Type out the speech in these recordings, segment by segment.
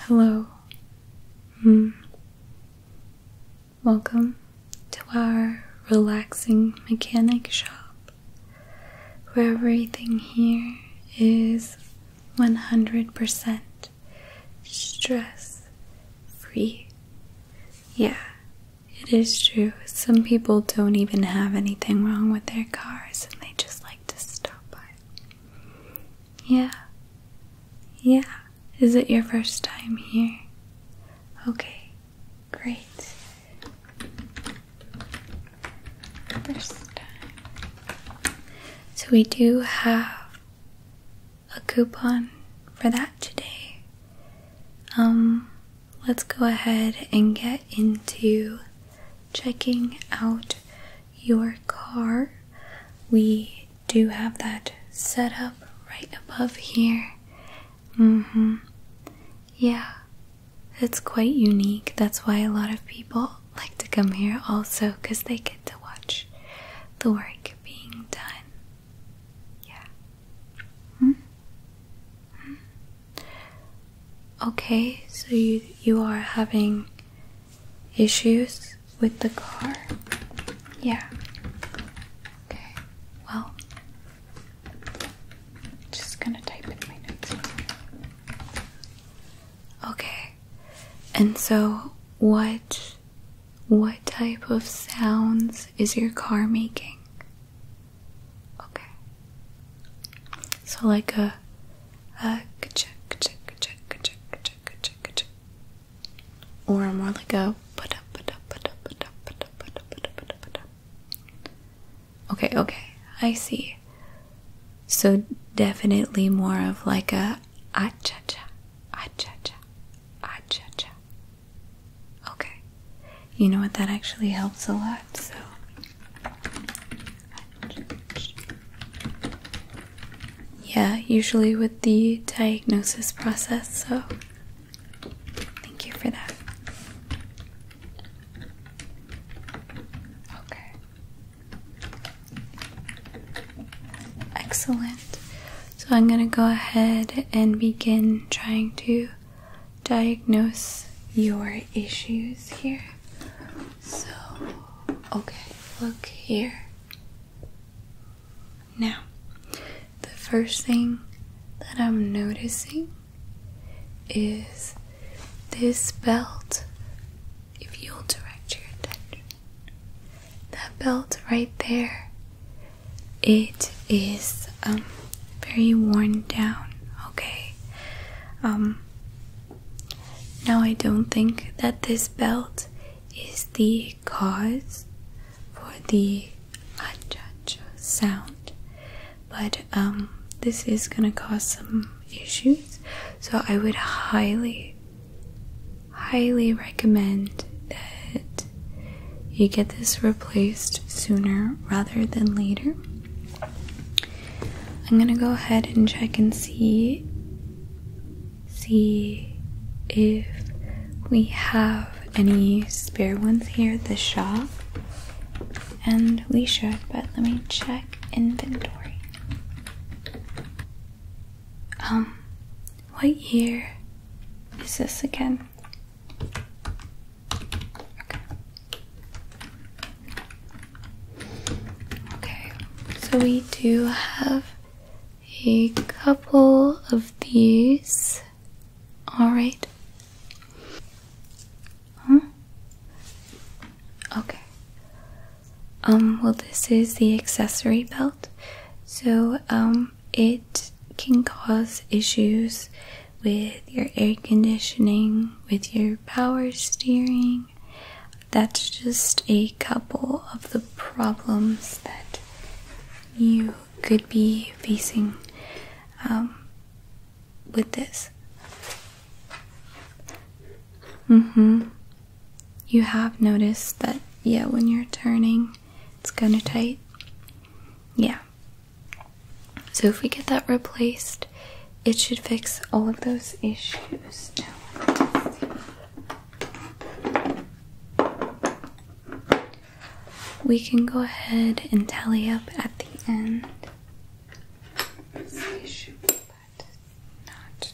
Hello. Mm. Welcome to our relaxing mechanic shop where everything here is 100% stress free. Yeah, it is true. Some people don't even have anything wrong with their cars and they just like to stop by. Yeah. Yeah. Is it your first time here? Okay. Great. First time. So we do have a coupon for that today. Um let's go ahead and get into checking out your car. We do have that set up right above here. Mm hmm. Yeah, it's quite unique. That's why a lot of people like to come here also because they get to watch the work being done. Yeah. Hmm? Hmm? Okay, so you you are having issues with the car? Yeah. Okay. Well, just gonna type in my notes. Okay. And so what what type of sounds is your car making? Okay. So like a a check check check check check check check or more like a Okay, okay. I see. So definitely more of like a acha cha acha cha acha cha Okay. You know what? That actually helps a lot, so. Yeah, usually with the diagnosis process, so thank you for that. Okay. Excellent. So I'm going to go ahead and begin trying to diagnose your issues here. So, okay, look here. Now, the first thing that I'm noticing is this belt. If you'll direct your attention, that belt right there it is um very worn down okay um now i don't think that this belt is the cause for the achacha sound but um this is going to cause some issues so i would highly highly recommend that you get this replaced sooner rather than later. I'm gonna go ahead and check and see see if we have any spare ones here at the shop. And we should, but let me check inventory. Um, what year is this again? Okay. Okay, so we do have a couple of these. Alright. Huh? Okay. Um, well, this is the accessory belt. So, um, it can cause issues with your air conditioning, with your power steering. That's just a couple of the problems that you could be facing um, with this. Mm-hmm. You have noticed that, yeah, when you're turning, it's kind of tight. Yeah. So if we get that replaced, it should fix all of those issues. we can go ahead and tally up at the end.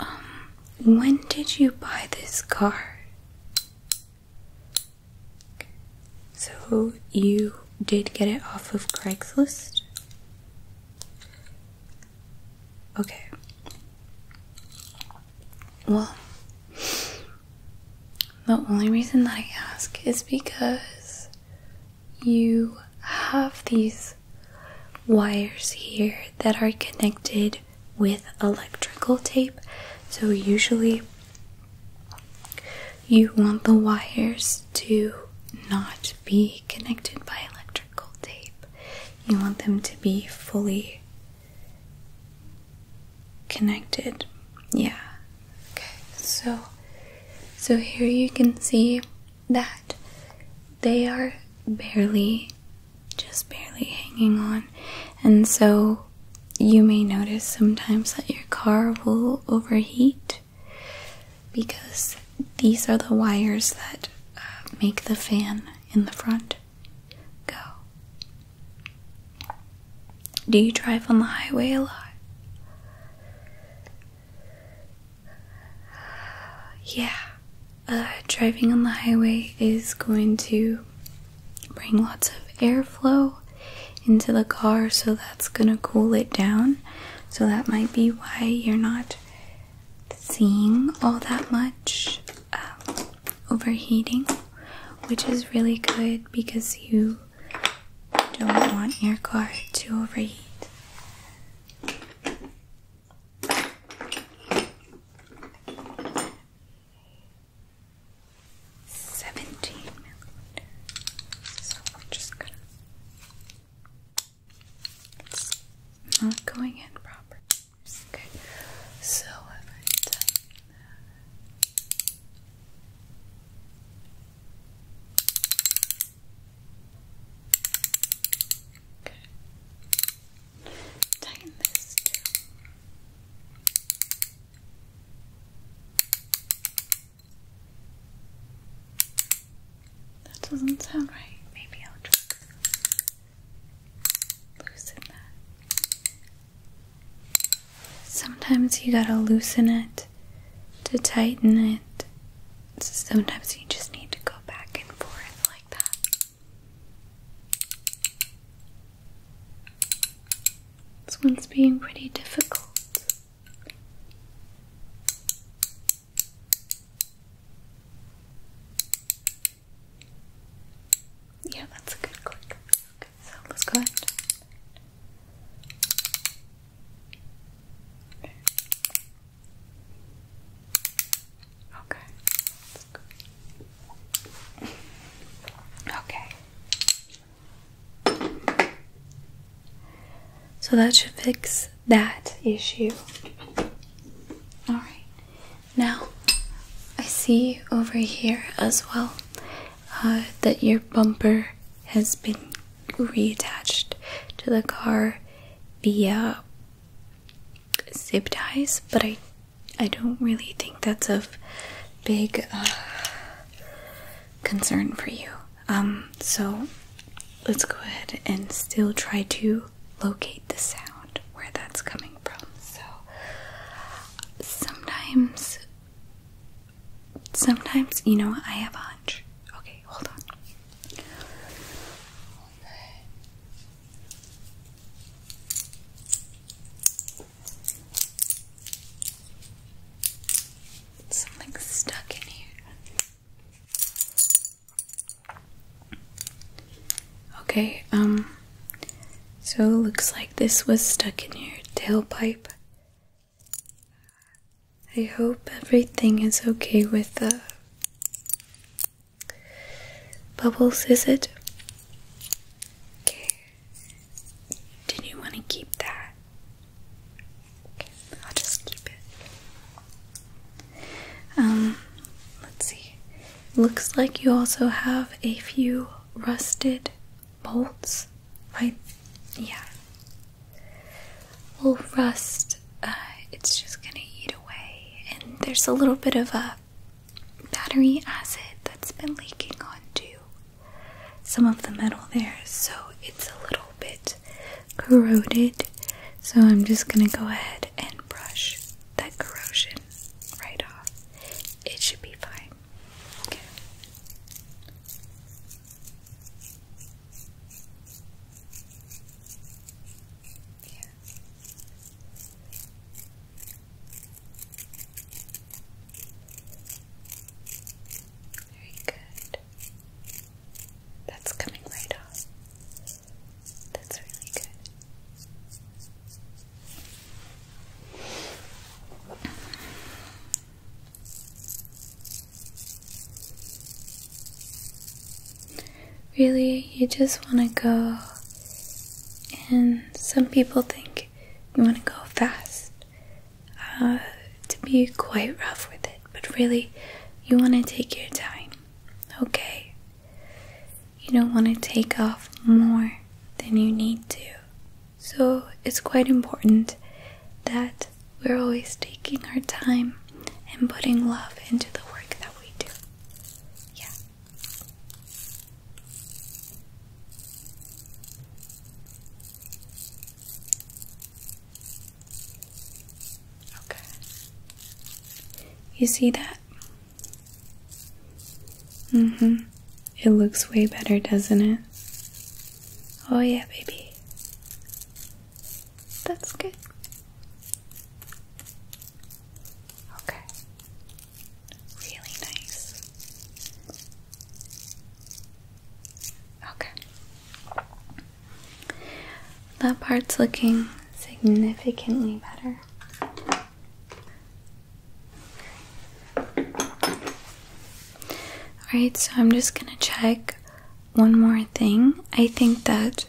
Um, when did you buy this car? So you did get it off of Craigslist? Okay. Well, the only reason that I ask is because you have these wires here that are connected with electrical tape. So, usually, you want the wires to not be connected by electrical tape, you want them to be fully connected. Yeah, Okay, so so here you can see that they are barely just barely hanging on. And so you may notice sometimes that your car will overheat because these are the wires that uh, make the fan in the front go. Do you drive on the highway a lot? Yeah, uh, driving on the highway is going to bring lots of airflow into the car, so that's going to cool it down. So that might be why you're not seeing all that much um, overheating, which is really good because you don't want your car to overheat. Seventeen So we're just gonna not going in properly. Okay. So i uh, Tighten this That doesn't sound right. Maybe I'll try loosen that. Sometimes you gotta loosen it to tighten it. Sometimes you just need to go back and forth like that. This one's being pretty difficult. Yeah, that's a good click. So let's go Okay. Okay. So that should fix that issue. Alright. Now I see over here as well uh, that your bumper has been reattached to the car via zip ties, but I I don't really think that's of big uh, concern for you. Um, so let's go ahead and still try to locate the sound where that's coming from. So sometimes Sometimes, you know I have a hunch. Okay, hold on. Something's stuck in here. Okay, um, so it looks like this was stuck in your tailpipe. I hope everything is okay with the bubbles, is it? Okay. Did you want to keep that? Okay, I'll just keep it. Um, let's see. Looks like you also have a few rusted Bolts, right? Yeah. Will rust. Uh, it's just gonna eat away, and there's a little bit of a battery acid that's been leaking onto some of the metal there, so it's a little bit corroded. So I'm just gonna go ahead and brush that corrosion right off. It should be fine. Okay. Very good. That's coming right off. That's really good. Really, you just want to go, and some people think you want to go fast uh, to be quite rough with it, but really, you want to take your time, okay? you don't want to take off more than you need to. So it's quite important that we're always taking our time and putting love into the work that we do. Yeah. Okay. You see that? Mm hmm. It looks way better, doesn't it? Oh, yeah, baby. That's good. Okay. Really nice. Okay. That part's looking significantly better. Alright, so I'm just gonna check one more thing. I think that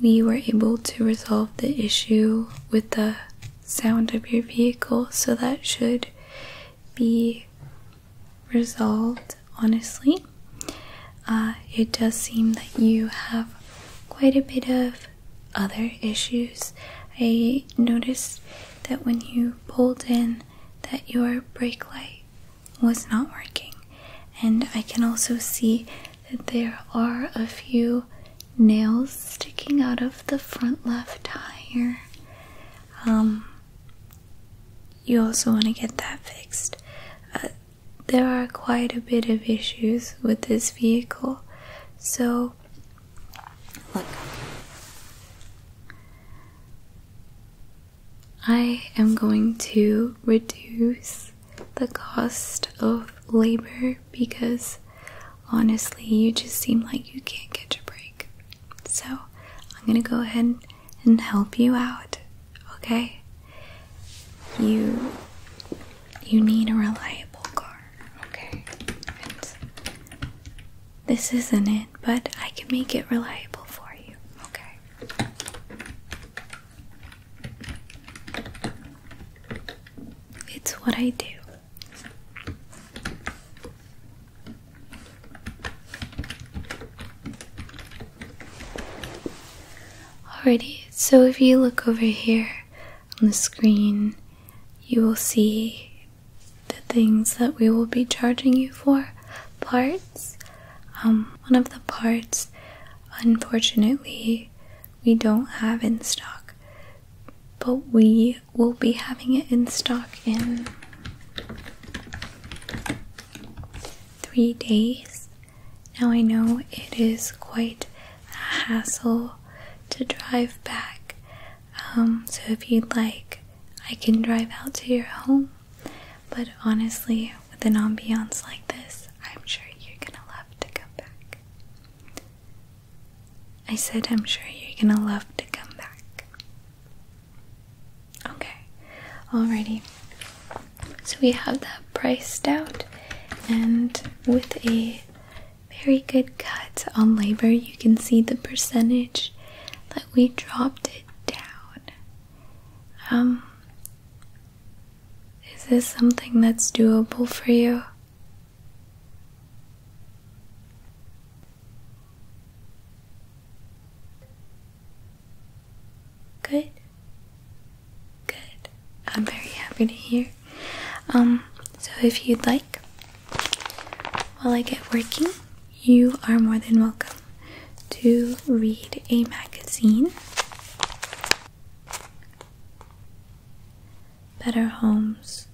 we were able to resolve the issue with the sound of your vehicle, so that should be resolved honestly. Uh, it does seem that you have quite a bit of other issues. I noticed that when you pulled in that your brake light was not working. And I can also see that there are a few nails sticking out of the front left tire. Um, you also want to get that fixed. Uh, there are quite a bit of issues with this vehicle, so, look. I am going to reduce the cost of labor because honestly, you just seem like you can't get a break. So, I'm gonna go ahead and help you out, okay? You you need a reliable car. Okay. this isn't it, but I can make it reliable for you. Okay. It's what I do. Alrighty, so if you look over here, on the screen, you will see the things that we will be charging you for parts. Um, one of the parts, unfortunately, we don't have in stock, but we will be having it in stock in three days. Now I know it is quite a hassle to drive back, um, so if you'd like, I can drive out to your home. But honestly, with an ambiance like this, I'm sure you're gonna love to come back. I said, I'm sure you're gonna love to come back. Okay, alrighty. So we have that priced out, and with a very good cut on labor, you can see the percentage that we dropped it down. Um, is this something that's doable for you? Good. Good. I'm very happy to hear. Um, so if you'd like, while I get working, you are more than welcome to read a magazine. Better Homes.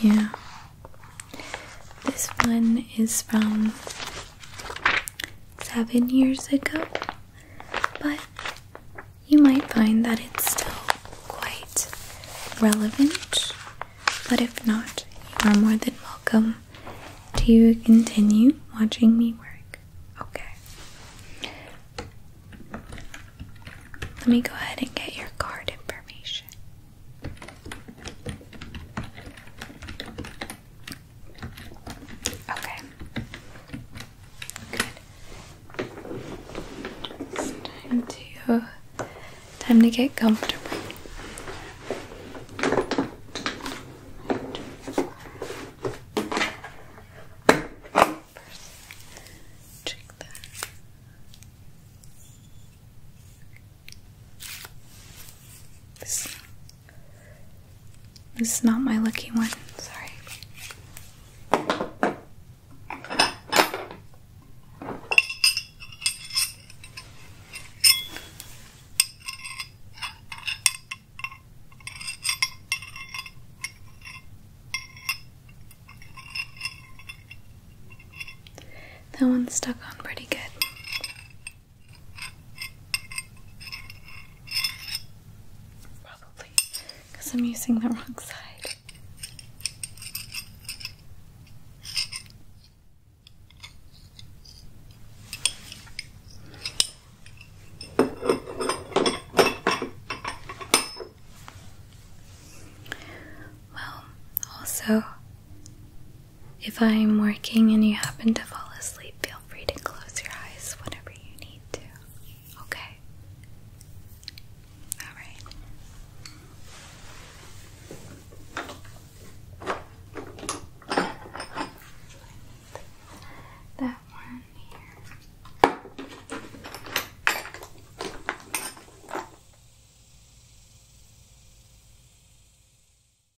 Yeah. This one is from seven years ago but you might find that it's still quite relevant. But if not, you are more than welcome to continue watching me work. Okay. Let me go ahead and get your card information. Okay. Good. time to time to get comfortable. check This this is not my lucky one, sorry. That one stuck on pretty good. Probably because I'm using the wrong side. Well, also, if I'm working and you happen to fall asleep, feel free to close your eyes whenever you need to. Okay? Alright. That one here.